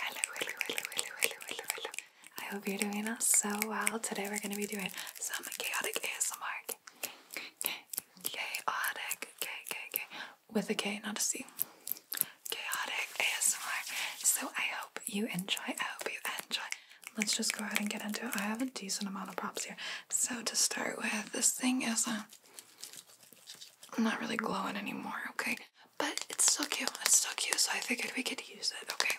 Hello, hello, hello, hello, hello, hello, hello. I hope you're doing so well. Today we're going to be doing some chaotic ASMR. Chaotic, K, K, K. With a K, not a C. Chaotic ASMR. So I hope you enjoy. I hope you enjoy. Let's just go ahead and get into it. I have a decent amount of props here. So to start with, this thing is a uh, I'm not really glowing anymore, okay? But it's still cute. It's still cute, so I figured we could use it, okay?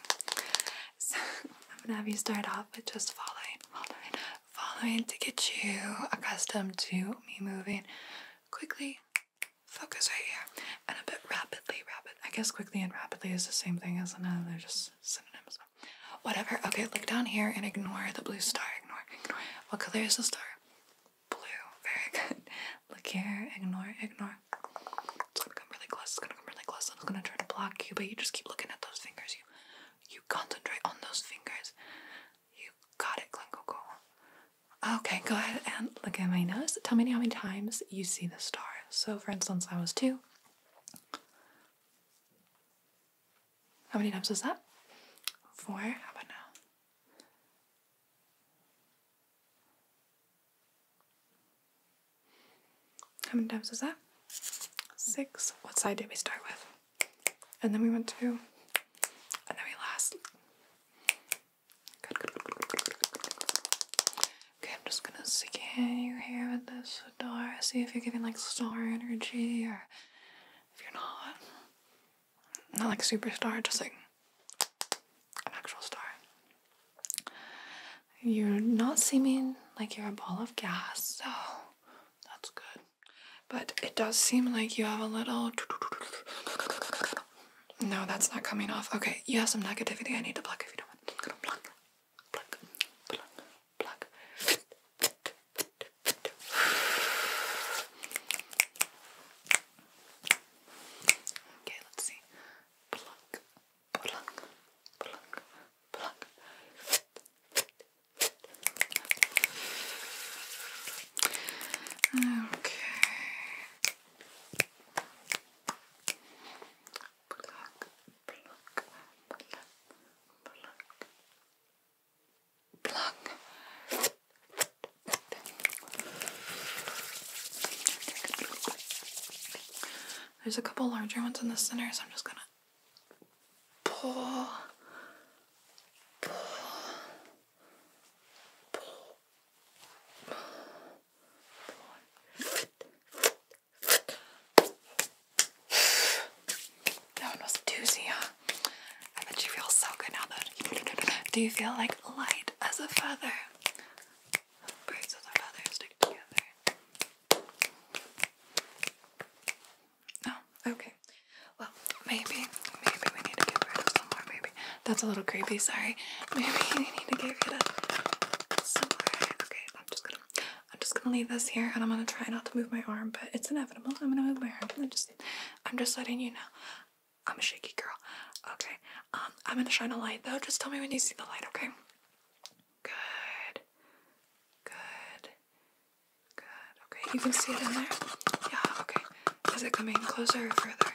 So I'm gonna have you start off with just following, following, following to get you accustomed to me moving quickly. Focus right here and a bit rapidly, rapid. I guess quickly and rapidly is the same thing, isn't it? They're just synonyms. Whatever. Okay, look down here and ignore the blue star. Ignore, ignore. What color is the star? blue. Very good. Look here. Ignore. Ignore. It's gonna come really close. It's gonna come really close. I'm just gonna try to block you, but you just keep looking at those fingers. You, you concentrate on those fingers. You got it, Glencoco. Okay, go ahead and look at my nose. Tell me how many times you see the star. So, for instance, I was two. How many times was that? Four. How about now? How many times was that? Six. What side did we start with? And then we went to, and then we last. Okay, I'm just gonna scan you here with this door, see if you're giving like star energy or if you're not not like superstar, just like an actual star. You're not seeming like you're a ball of gas, so that's good. But it does seem like you have a little. No, that's not coming off. Okay, you have some negativity I need to pluck if you don't want. Pluck, pluck, pluck, pluck. Okay, let's see. Pluck, pluck, pluck, pluck. Okay. Pluck, pluck, pluck, pluck. There's a couple larger ones in the center, so I'm just gonna pull, pull, pull, pull. That one was doozy, huh? I bet you feel so good now do you feel like light as a feather? Birds with a stick together. No? Oh, okay. Well, maybe, maybe we need to get rid of some more, maybe. That's a little creepy, sorry. Maybe we need to get rid of some Okay, I'm just gonna I'm just gonna leave this here and I'm gonna try not to move my arm, but it's inevitable. I'm gonna wear it. I'm just, I'm just letting you know. I'm a shaky girl. Okay. Um, I'm gonna shine a light though. Just tell me when you see the light, okay? Good. Good. Good. Okay, you can see it in there? Yeah, okay. Is it coming closer or further?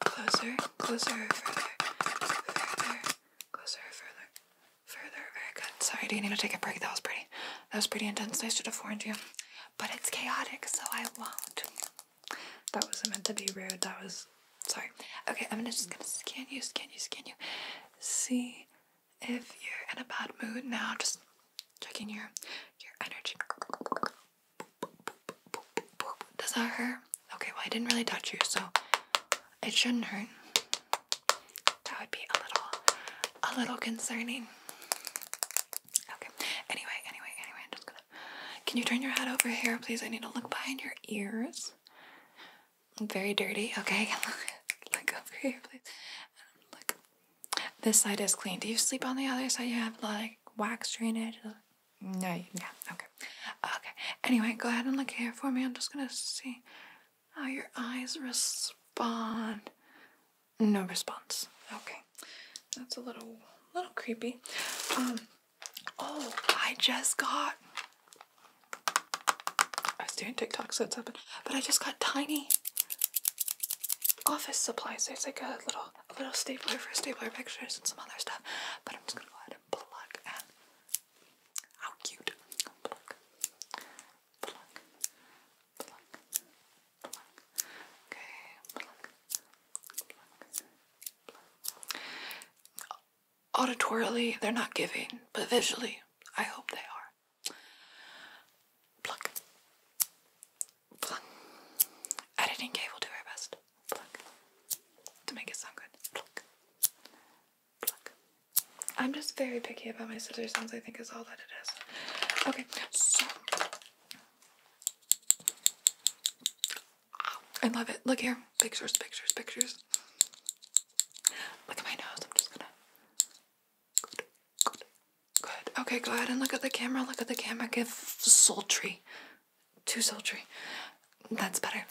Closer, closer further? Further, closer further? further. Very good. Sorry, do you need to take a break? That was pretty. That was pretty intense. I should have warned you. But it's chaotic, so I won't. That wasn't meant to be rude. That was sorry. Okay, I'm gonna just gonna scan you, scan you, scan you. See if you're in a bad mood now. Just checking your your energy. Does that hurt? Okay, well I didn't really touch you, so it shouldn't hurt. That would be a little, a little concerning. Okay. Anyway, anyway, anyway, Can you turn your head over here, please? I need to look behind your ears. very dirty. Okay. look over here, please. Look. This side is clean. Do you sleep on the other side? You have like wax drainage. No. Yeah. Okay. Okay. Anyway, go ahead and look here for me. I'm just gonna see. Oh, your eyes respond. No response. Okay. That's a little little creepy. Um oh, I just got I was doing TikTok so it's open. But I just got tiny office supplies. There's like a little a little stapler for stapler pictures and some other stuff. But I'm just gonna go ahead and plug and how cute. Pluck. Pluck. Pluck. Pluck. Okay. Pluck. Pluck. Pluck. Auditorily, they're not giving, but visually, I hope they are. Pluck. Pluck. Editing Kay will do her best. Pluck. To make it sound good. Pluck. I'm just very picky about my scissors sounds, I think is all that it is. Okay, so. I love it. Look here. Pictures, pictures, pictures. Look at my nose. I'm just gonna. Good, good, good. Okay, go ahead and look at the camera. Look at the camera. Give sultry. Too sultry. That's better.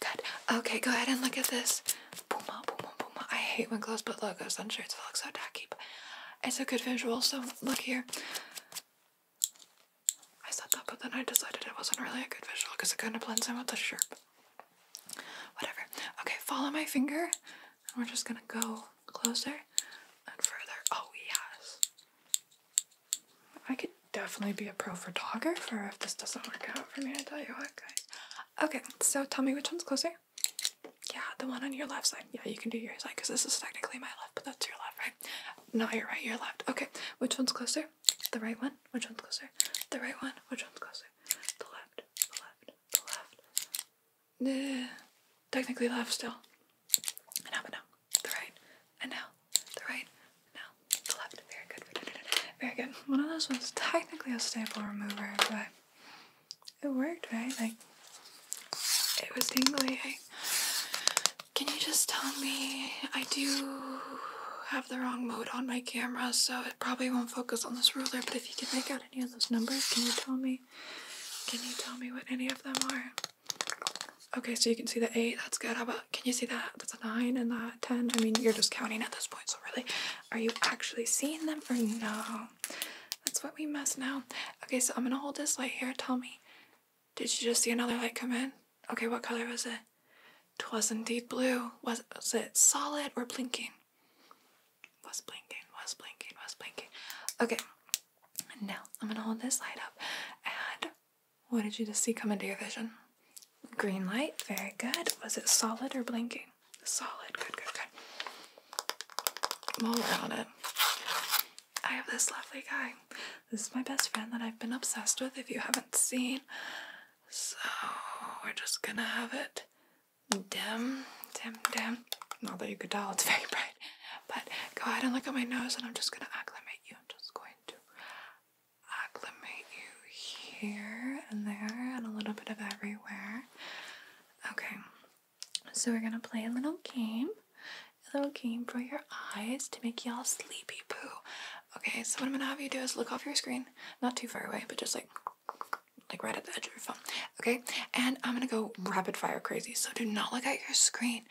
Good. Okay, go ahead and look at this. Puma, Puma, Puma. I hate when clothes put logos on shirts. It looks so tacky, but it's a good visual, so look here. I said that, but then I decided it wasn't really a good visual because it kind of blends in with the shirt. Whatever. Okay, follow my finger, and we're just gonna go closer and further. Oh, yes. I could definitely be a pro photographer if this doesn't work out for me, I tell you what, guys. Okay, so tell me which one's closer. Yeah, the one on your left side. Yeah, you can do your side because this is technically my left, but that's your left, right? Not your right, your left. Okay, which one's closer? The right one? Which one's closer? The right one? Which one's closer? The left, the left, the left. Nah, technically left still. An up and up the right, and now the right, now the left. Very good, very good. One of those was technically a staple remover, but it worked, right? Like it was tingly. Can you just tell me? I do have the wrong mode on my camera, so it probably won't focus on this ruler. But if you can make out any of those numbers, can you tell me? Can you tell me what any of them are? Okay, so you can see the eight, that's good. can you see that? That's a nine and that 10. I mean, you're just counting at this point, so really, are you actually seeing them or no? That's what we mess now. Okay, so I'm gonna hold this light here. Tell me, did you just see another light come in? Okay, what color was it? Twas indeed blue. Was, was it solid or blinking? Was blinking, was blinking, was blinking. Okay, now I'm gonna hold this light up and what did you just see come into your vision? Green light, very good. Was it solid or blinking? Solid, good, good, good. While on it, I have this lovely guy. This is my best friend that I've been obsessed with if you haven't seen. So we're just gonna have it dim, dim, dim. Not that you could tell, it's very bright. But go ahead and look at my nose and I'm just gonna acclimate you. I'm just going to acclimate you here and there and a little bit of everywhere. Okay, so we're gonna play a little game. A little game for your eyes to make y'all sleepy Pooh. Okay, so what I'm gonna have you do is look off your screen, not too far away, but just like like right at the edge of your phone. Okay, and I'm gonna go rapid fire crazy. So do not look at your screen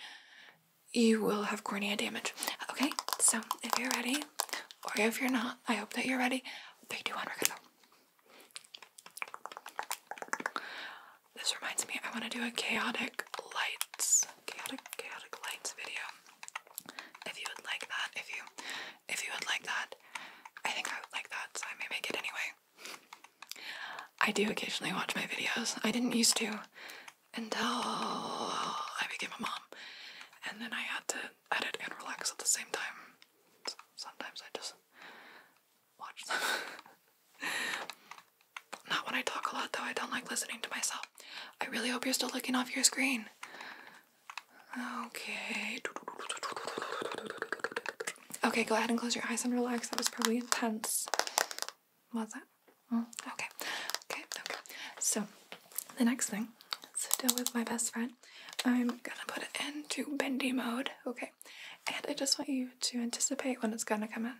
you will have cornea damage. Okay, so if you're ready, or if you're not, I hope that you're ready. Three, two, This reminds me, I want to do a chaotic lights, chaotic, chaotic lights video. If you would like that, if you, if you would like that, I think I would like that, so I may make it anyway. I do occasionally watch my videos. I didn't used to until oh, I became a mom. And then I had to edit and relax at the same time. Sometimes I just watch them. Not when I talk a lot, though. I don't like listening to myself. I really hope you're still looking off your screen. Okay. Okay, go ahead and close your eyes and relax. That was probably intense. Was that? Mm, okay, okay, okay. So the next thing, still with my best friend, I'm gonna put it into bendy mode. Okay, and I just want you to anticipate when it's gonna come in.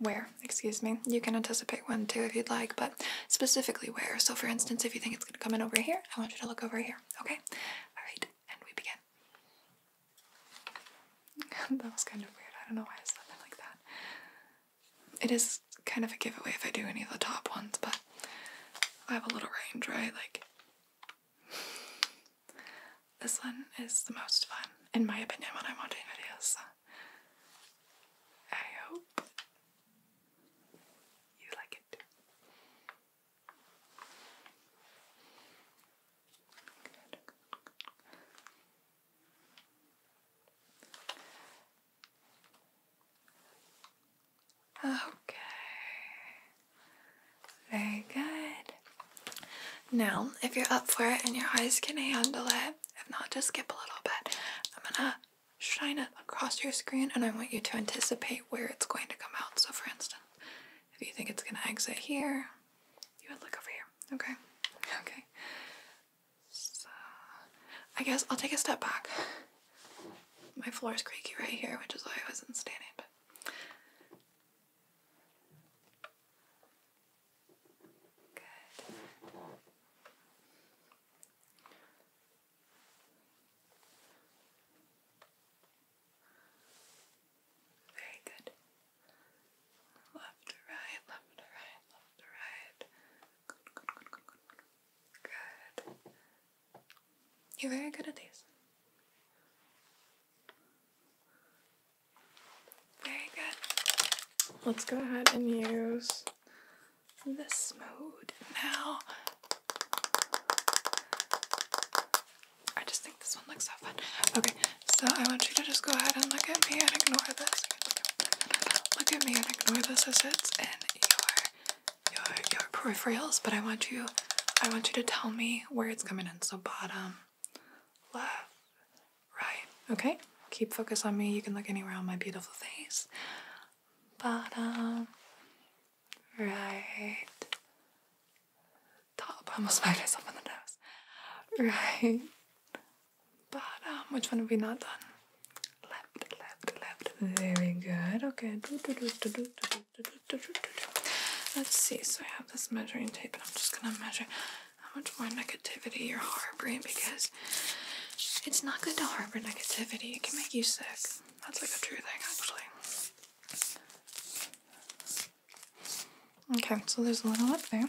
Where, excuse me. You can anticipate when too if you'd like, but specifically where. So for instance, if you think it's gonna come in over here, I want you to look over here. Okay. All right, and we begin. that was kind of weird. I don't know why I said it like that. It is kind of a giveaway if I do any of the top ones, but I have a little range, right? Like, this one is the most fun, in my opinion, when I'm watching videos. I hope you like it. Okay. Very good. Now, if you're up for it and your eyes can handle it, if not, just skip a little bit. I'm gonna shine it across your screen and I want you to anticipate where it's going to come out. So, for instance, if you think it's gonna exit here, you would look over here. Okay. Okay. So, I guess I'll take a step back. My floor is creaky right here, which is why I wasn't standing, but. Very good. Left to right, left to right, left to right. Good, good, good, good, good. Good. You're very good at these. Very good. Let's go ahead and use this mode now. I just think this one looks so fun. Okay, so I want you to just go ahead and look at me and ignore this. Look at me and ignore this as it's in your your your peripherals, but I want you I want you to tell me where it's coming in. So bottom, left, right. Okay? Keep focus on me. You can look anywhere on my beautiful face. Bottom, right, top. I almost smacked myself on the nose. Right. But um, which one have we not done? Left, left, left. Very good. Okay. Let's see. So I have this measuring tape, and I'm just gonna measure how much more negativity you're harboring because it's not good to harbor negativity. It can make you sick. That's like a true thing, actually. Okay, so there's a little up there.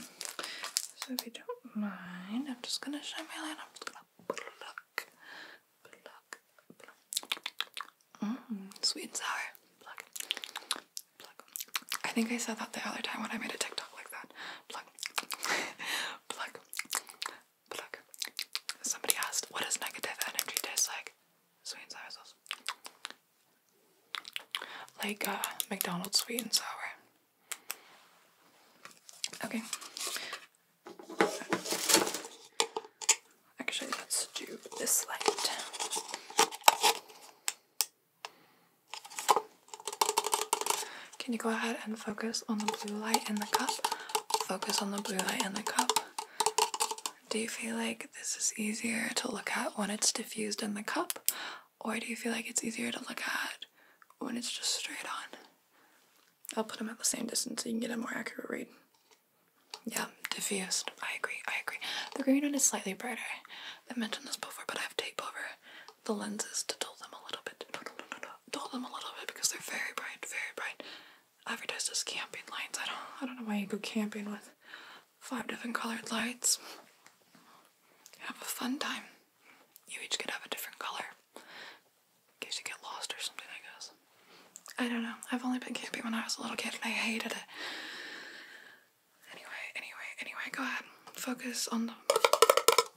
So if you don't mind, I'm just gonna shine my light. I'm just gonna pluck, pluck, pluck. Mm, sweet and sour. I think I said that the other time when I made a TikTok like that. Pluck, pluck, pluck. Somebody asked, "What does negative energy taste like?" sweet and sour sauce. Like uh, McDonald's sweet and sour. Okay. Actually, let's do this light. Can you go ahead and focus on the blue light in the cup? Focus on the blue light in the cup. Do you feel like this is easier to look at when it's diffused in the cup, or do you feel like it's easier to look at when it's just straight on? I'll put them at the same distance so you can get a more accurate read. Yeah, diffused. I agree, I agree. The green one is slightly brighter. I have mentioned this before, but I have tape over the lenses to dull them a little bit. Dull them a little bit because they're very bright, very bright advertise as camping lights. I don't I don't know why you go camping with five different colored lights. Have a fun time. You each could have a different color. In case you get lost or something, I guess. I don't know. I've only been camping when I was a little kid and I hated it. Anyway, anyway, anyway, go ahead. Focus on the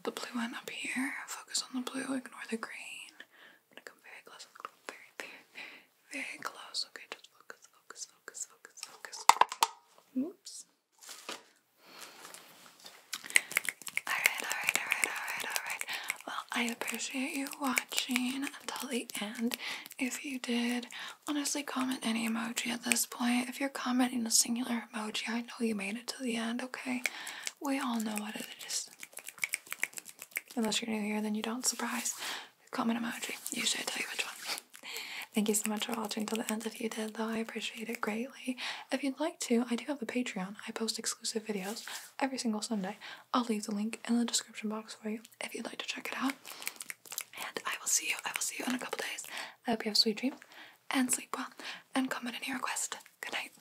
the blue one up here. Focus on the blue, ignore the green. I'm gonna come very close very, very, very, close. Okay, just focus, focus, focus, focus, focus. Oops. Alright, alright, alright, alright, alright. Well, I appreciate you watching until the end. If you did, honestly, comment any emoji at this point. If you're commenting a singular emoji, I know you made it to the end, okay? We all know what it is. Unless you're new here, then you don't. Surprise. Comment emoji. Usually I tell you which one. Thank you so much for watching till the end if you did, though. I appreciate it greatly. If you'd like to, I do have a Patreon. I post exclusive videos every single Sunday. I'll leave the link in the description box for you if you'd like to check it out. And I will see you. I will see you in a couple days. I hope you have sweet dreams and sleep well. And comment any request. Good night.